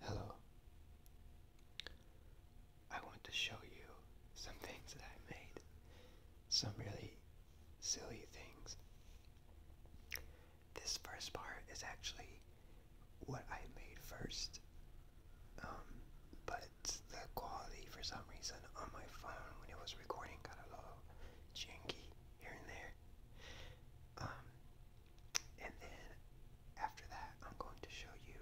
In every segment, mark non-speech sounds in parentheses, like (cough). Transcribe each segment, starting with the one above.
Hello. I want to show you some things that I made. Some really silly things. This first part is actually what I made first. Um, but the quality for some reason on my phone when it was recording got a little janky here and there. Um, and then after that, I'm going to show you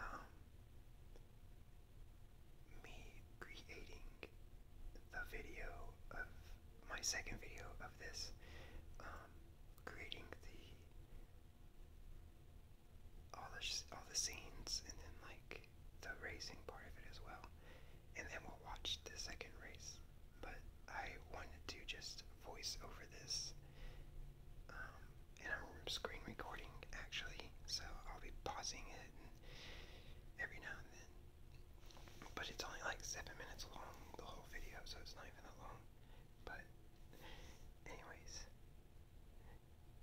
um, me creating the video of my second video of this, um, creating the all the all the scenes and then like the racing part of it as well and then we'll watch the second race. But I wanted to just voice over this, um, and I'm screen recording actually, so I'll be pausing it every now and then. But it's only like seven minutes long, the whole video, so it's not even that long. But, anyways,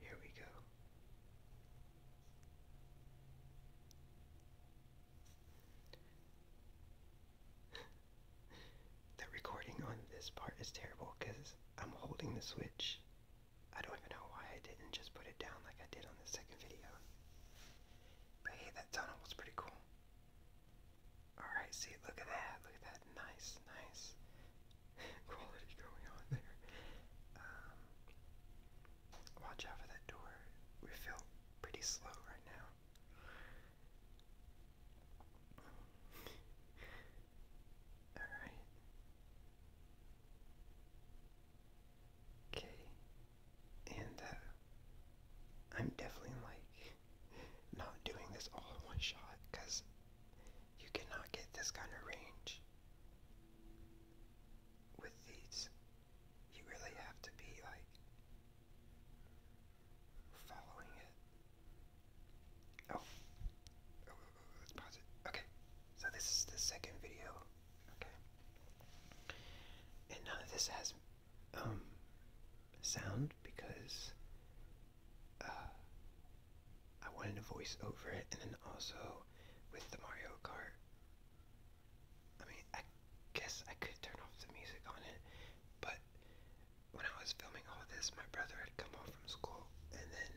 here we go. (laughs) the recording on this part is terrible because I'm holding the switch. I don't even know why I didn't just put it down like I did on the second video. But hey, that tunnel was pretty cool. Alright, see, look at that. Look at that. Nice, nice (laughs) quality going on there. Um, watch out for that door. We felt pretty slow right now. (laughs) Alright. Okay. And, uh, I'm definitely, like, not doing this all in one shot, because you cannot get this kind of range with these you really have to be like following it. Oh. Oh, oh, oh, let's pause it. Okay, so this is the second video. Okay, and none of this has um sound because uh, I wanted a voice over it, and then also with the Mario Kart I mean, I guess I could turn off the music on it, but when I was filming all this, my brother had come home from school, and then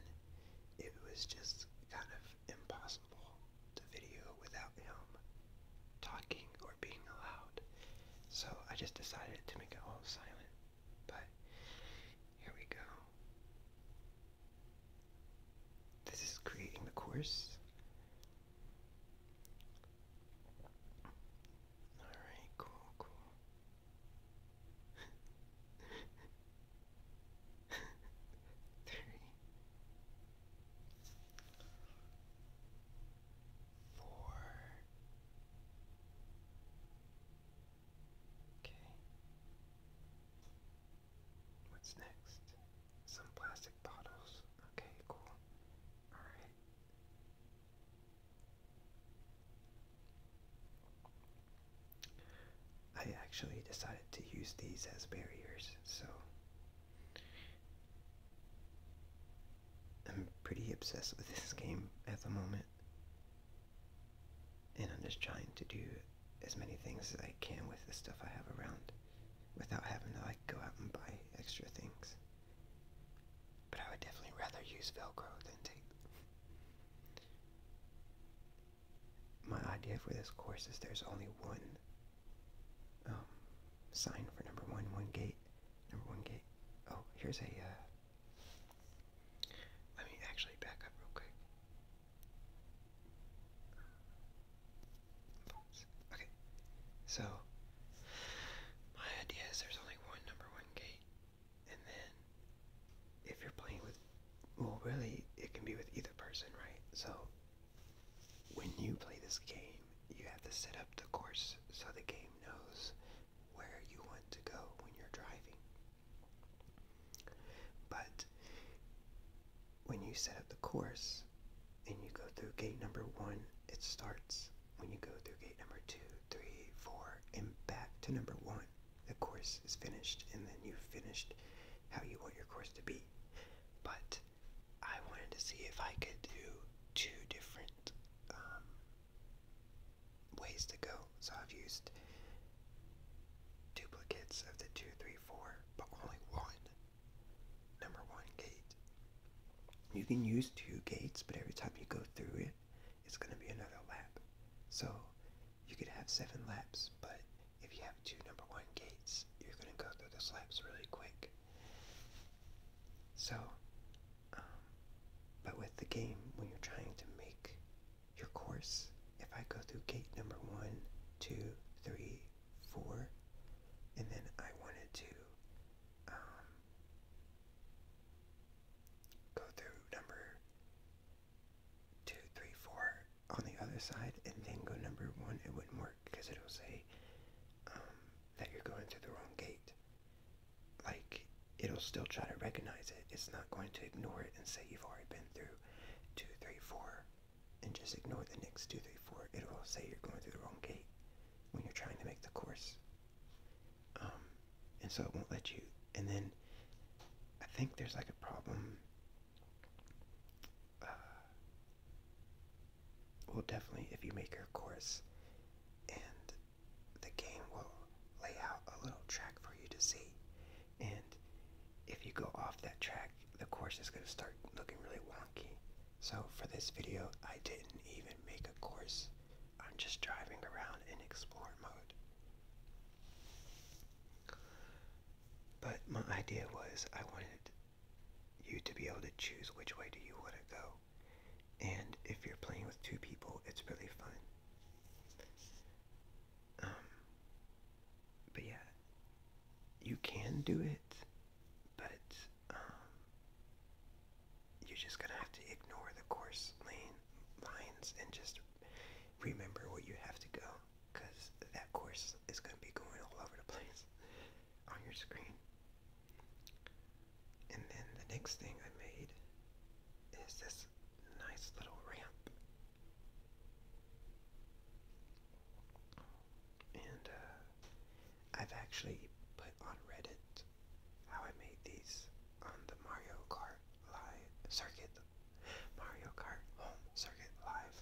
it was just kind of impossible to video without him talking or being loud. So I just decided to make it all silent, but here we go. This is creating the course. Alright, cool, cool. (laughs) Three, four. Okay. What's next? some plastic bottles. Okay, cool. Alright. I actually decided to use these as barriers, so I'm pretty obsessed with this game at the moment. And I'm just trying to do as many things as I can with the stuff I have around without having to like go out and buy extra things. But I would definitely rather use Velcro than tape. My idea for this course is there's only one um, sign for number one, one gate, number one gate. Oh, here's a, uh, let me actually back up real quick. Okay, so my idea is there's only one number one gate, and then if you're playing with, well, really, it can be with either person, right? So when you play this game, you have to set up the course so the game knows where you want to go when you're driving. But when you set up the course and you go through gate number one, it starts. When you go through gate number two, three, four, and back to number one, the course is finished, and then you've finished how you want your course to be. But I wanted to see if I could do two different um, ways to go. So I've used duplicates of the two, three, four, but only one number one gate. You can use two gates, but every time you go through it, it's going to be another lap. So you could have seven laps, but if you have two number one gates, you're going to go through the laps really quick. So, um, but with the game, when you're trying to make your course, if I go through gate number one, two, three, four, and then I wanted to um, go through number two, three, four on the other side, and then go number one. It wouldn't work because it'll say um, that you're going through the wrong gate. Like it'll still try to recognize it. It's not going to ignore it and say you've already been through two, three, four and just ignore the next two, three, four. It will say you're going through the wrong gate when you're trying to make the course. Um, and so it won't let you. And then I think there's like a problem. Uh, well, definitely if you make your course and the game will lay out a little track for you to see. And if you go off that track, the course is going to start looking really wonky. So for this video, I didn't even make a course. I'm just driving around in explore mode. But my idea was I wanted you to be able to choose which way do you want to go. And if you're playing with two people, it's really fun. Um, but yeah, you can do it, but um, you're just gonna have to ignore the course lane lines and just remember where you have to go, because that course is gonna be going all over the place on your screen. And then the next thing I made is this nice little ramp. And uh, I've actually put on Reddit how I made these on the Mario Kart Live circuit, Mario Kart Home Circuit Live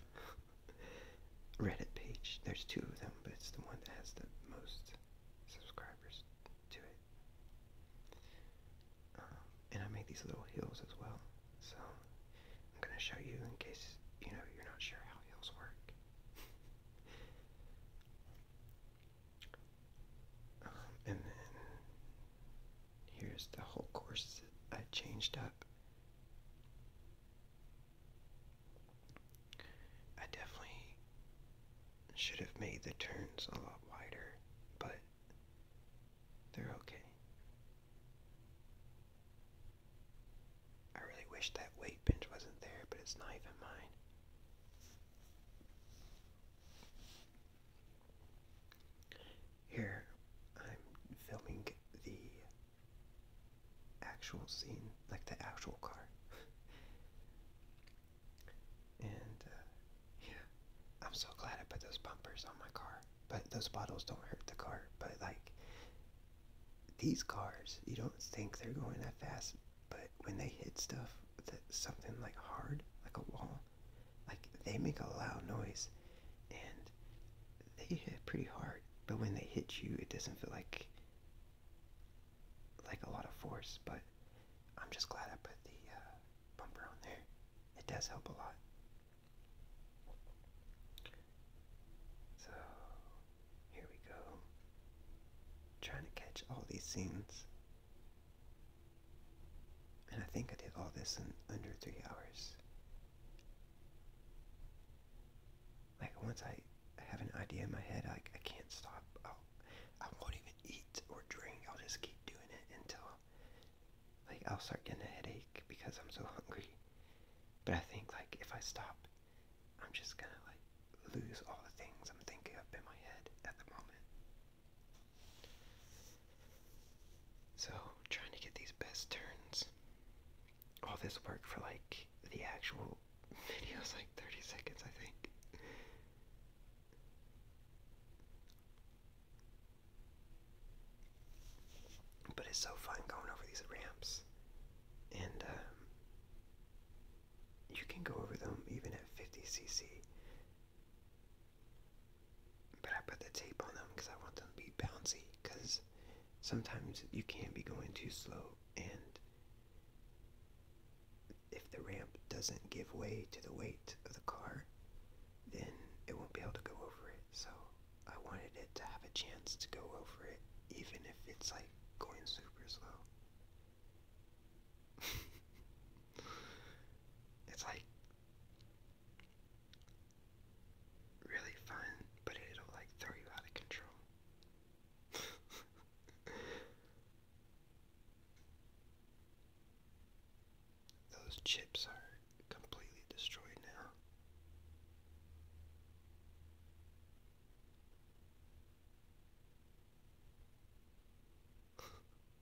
(laughs) Reddit page. There's two of them, but it's the one that has the most subscribers to it. Um, and I make these little hills as well. So I'm going to show you in case you know you're not sure how heels work. Um, and then here's the whole course I changed up. I definitely should have made the turns a lot wider, but they're okay. I really wish that weight bench wasn't there, but it's not even mine. Here, I'm filming the actual scene, like the actual car. (laughs) and, uh, yeah, I'm so glad I put those bumpers on my car. But those bottles don't hurt the car, but, like, these cars, you don't think they're going that fast, but when they hit stuff, that something like hard, like a wall, like they make a loud noise, and they hit pretty hard. But when they hit you, it doesn't feel like like a lot of force. But I'm just glad I put the uh, bumper on there. It does help a lot. So here we go. i trying to catch all these scenes. And I think I did all this in under three hours. Like once I have an idea in my head, I, I can't stop. I'll, i will not even eat or drink. I'll just keep doing it until like I'll start getting a headache because I'm so hungry. But I think like if I stop, I'm just gonna like lose all the things I'm thinking up in my head at the moment. So trying to get these best turns. All this work for like the actual (laughs) video is like 30 seconds, I think. But it's so fun going over these ramps, and um, you can go over them even at 50cc. But I put the tape on them because I want them to be bouncy. Because sometimes you can't be going too slow, and if the ramp doesn't give way to the weight of the car, then it won't be able to go over it. So I wanted it to have a chance to go over it, even if it's like going super slow. (laughs) it's like really fun, but it'll like throw you out of control. (laughs) Those chips are completely destroyed now.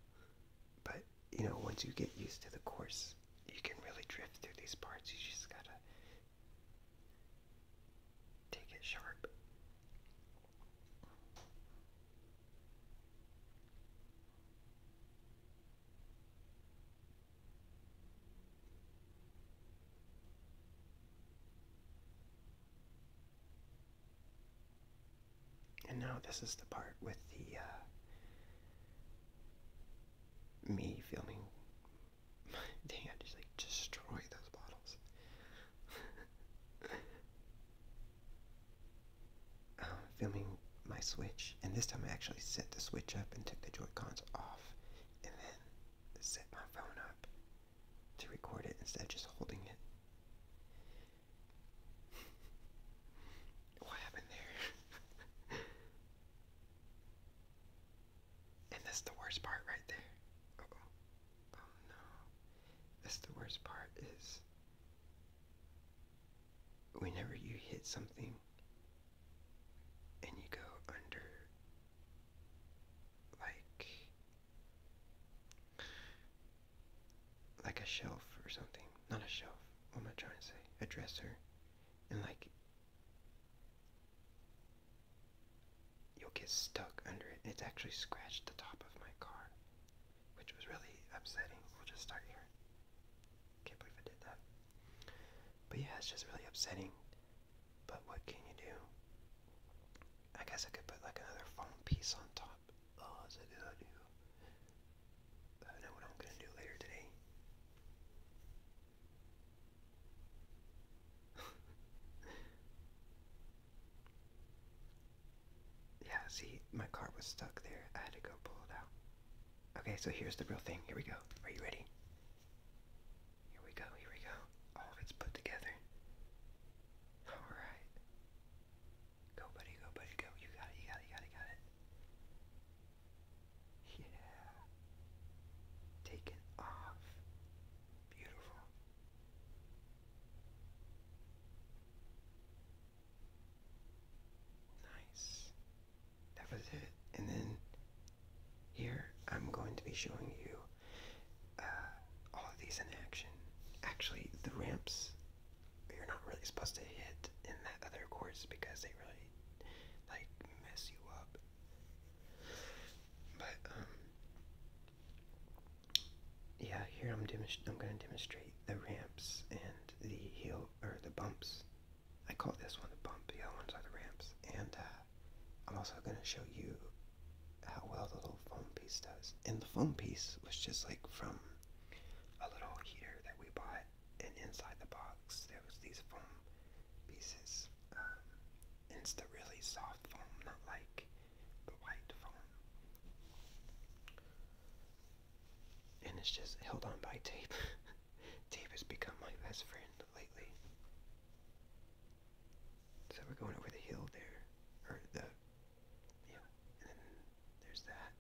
(laughs) but, you know, once you get used to the course, you can really drift through these parts. You just gotta take it sharp. And now this is the part with the uh, me filming. (laughs) Dang, just like destroy those bottles. (laughs) Um, filming my Switch, and this time I actually set the Switch up and took the Joycons off and then set my phone up to record it instead of just holding it. what happened there? and that's the worst part right there. Oh no. That's the worst part is whenever you hit something and you go under like like a shelf or something. Not a shelf. What am I trying to say? A dresser. And like you'll get stuck under it. It's actually scratched the top of my car. Which was really upsetting. We'll just start here. Can't believe I did that. But yeah, it's just really upsetting but what can you do? I guess I could put like another foam piece on top. Oh, is that what I do? I know what I'm gonna do later today. (laughs) yeah, see, my car was stuck there. I had to go pull it out. Okay, so here's the real thing. Here we go. Are you ready? Here we go, here we go. All of put together. Alright. Go buddy, go buddy, go. You got it, you got it, you got it, got it. Yeah. Taken off. Beautiful. Nice that was it. And then here I'm going to be showing you uh, all these in action. Actually, the ramps you're not really supposed to hit in that other course because they really like mess you up. But um, yeah, here I'm I'm going to demonstrate the ramps and the heel or the bumps I call this one the bump, the other ones are the ramps, and uh, I'm also going to show you how well the little foam piece does. And the foam piece was just like from a little heater that we bought, and inside the box there was these foam pieces. Um, and it's the really soft foam, not like the white foam. And it's just held on by tape. (laughs) tape has become my best friend lately. So we're going over the hill there, or the, yeah, and then there's that.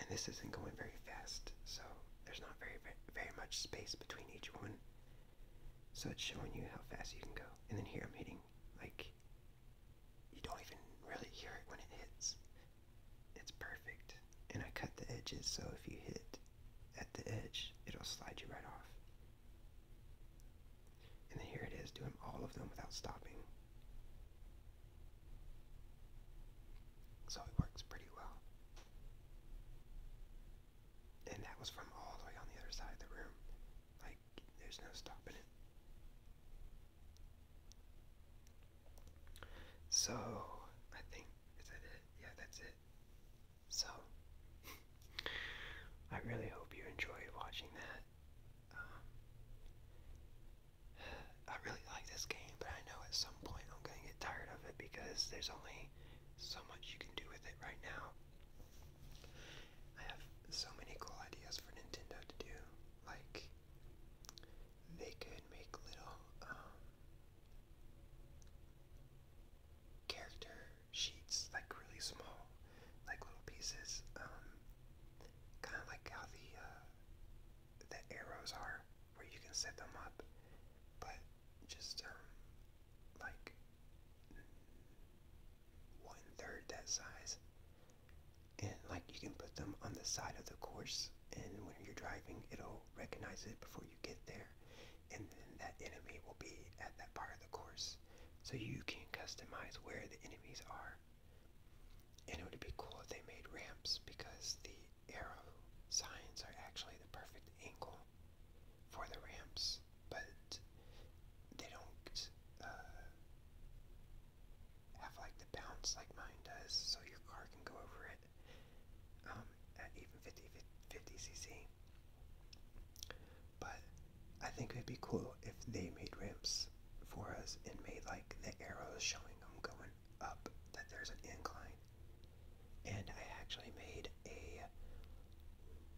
And this isn't going very fast, so there's not very, very, very much space between each one. So it's showing you how fast you can go. And then here I'm hitting like you don't even really hear it when it hits. It's perfect. And I cut the edges so if you hit at the edge, it'll slide you right off. And then here it is, doing all of them without stopping. So it works pretty well. And that was from all the way on the other side of the room. Like, there's no stopping it. So, I think, is that it? Yeah, that's it. So, (laughs) I really hope you enjoyed watching that. Um, (sighs) I really like this game, but I know at some point I'm going to get tired of it because there's only so much you can do with it right now. I have so many cool ideas for Nintendo to do, like they could make little um, character sheets, like really small, like little pieces, um, kind of like how the uh, the arrows are, where you can set them up, but just um, like one third that size and like you can put them on the side of the course and when you're driving it'll recognize it before you get there and then that enemy will be at that part of the course so you can customize where the enemies are and it would be cool if they made ramps because the arrow signs are actually the perfect angle for the ramps but they don't uh, have like the bounce like mine does, so your car can go over it um, at even 50, cc. But I think it'd be cool if they made ramps for us and made like the arrows showing them going up that there's an incline. And I actually made a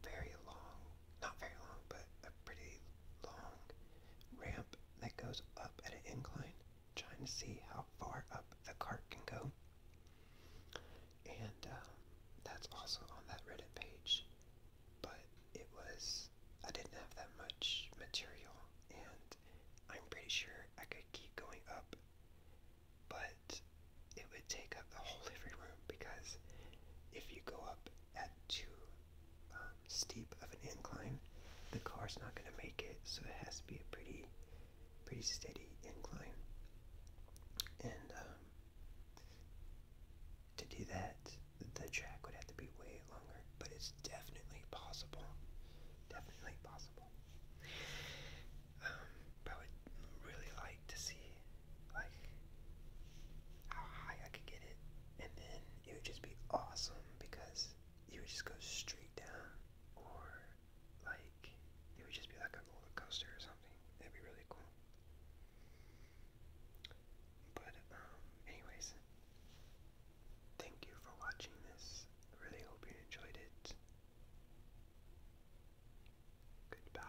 very long, not very long, but a pretty long ramp that goes up at an incline, trying to see how far up the cart can go. And um, that's also on that Reddit page, but it was, I didn't have that much material, and I'm pretty sure I could keep going up, but it would take up the whole living room because if you go up at two, um, steep of an incline, the car's not going to make it. So it has to be a pretty, pretty steady incline. And um, to do that, the track would have to be way longer, but it's definitely possible. Definitely possible. Um, but I would really like to see, like, how high I could get it, and then it would just be awesome because you would just go straight down, or like it would just be like a roller coaster or something. That'd be really cool. But um, anyways, thank you for watching this. really hope you enjoyed it. Goodbye.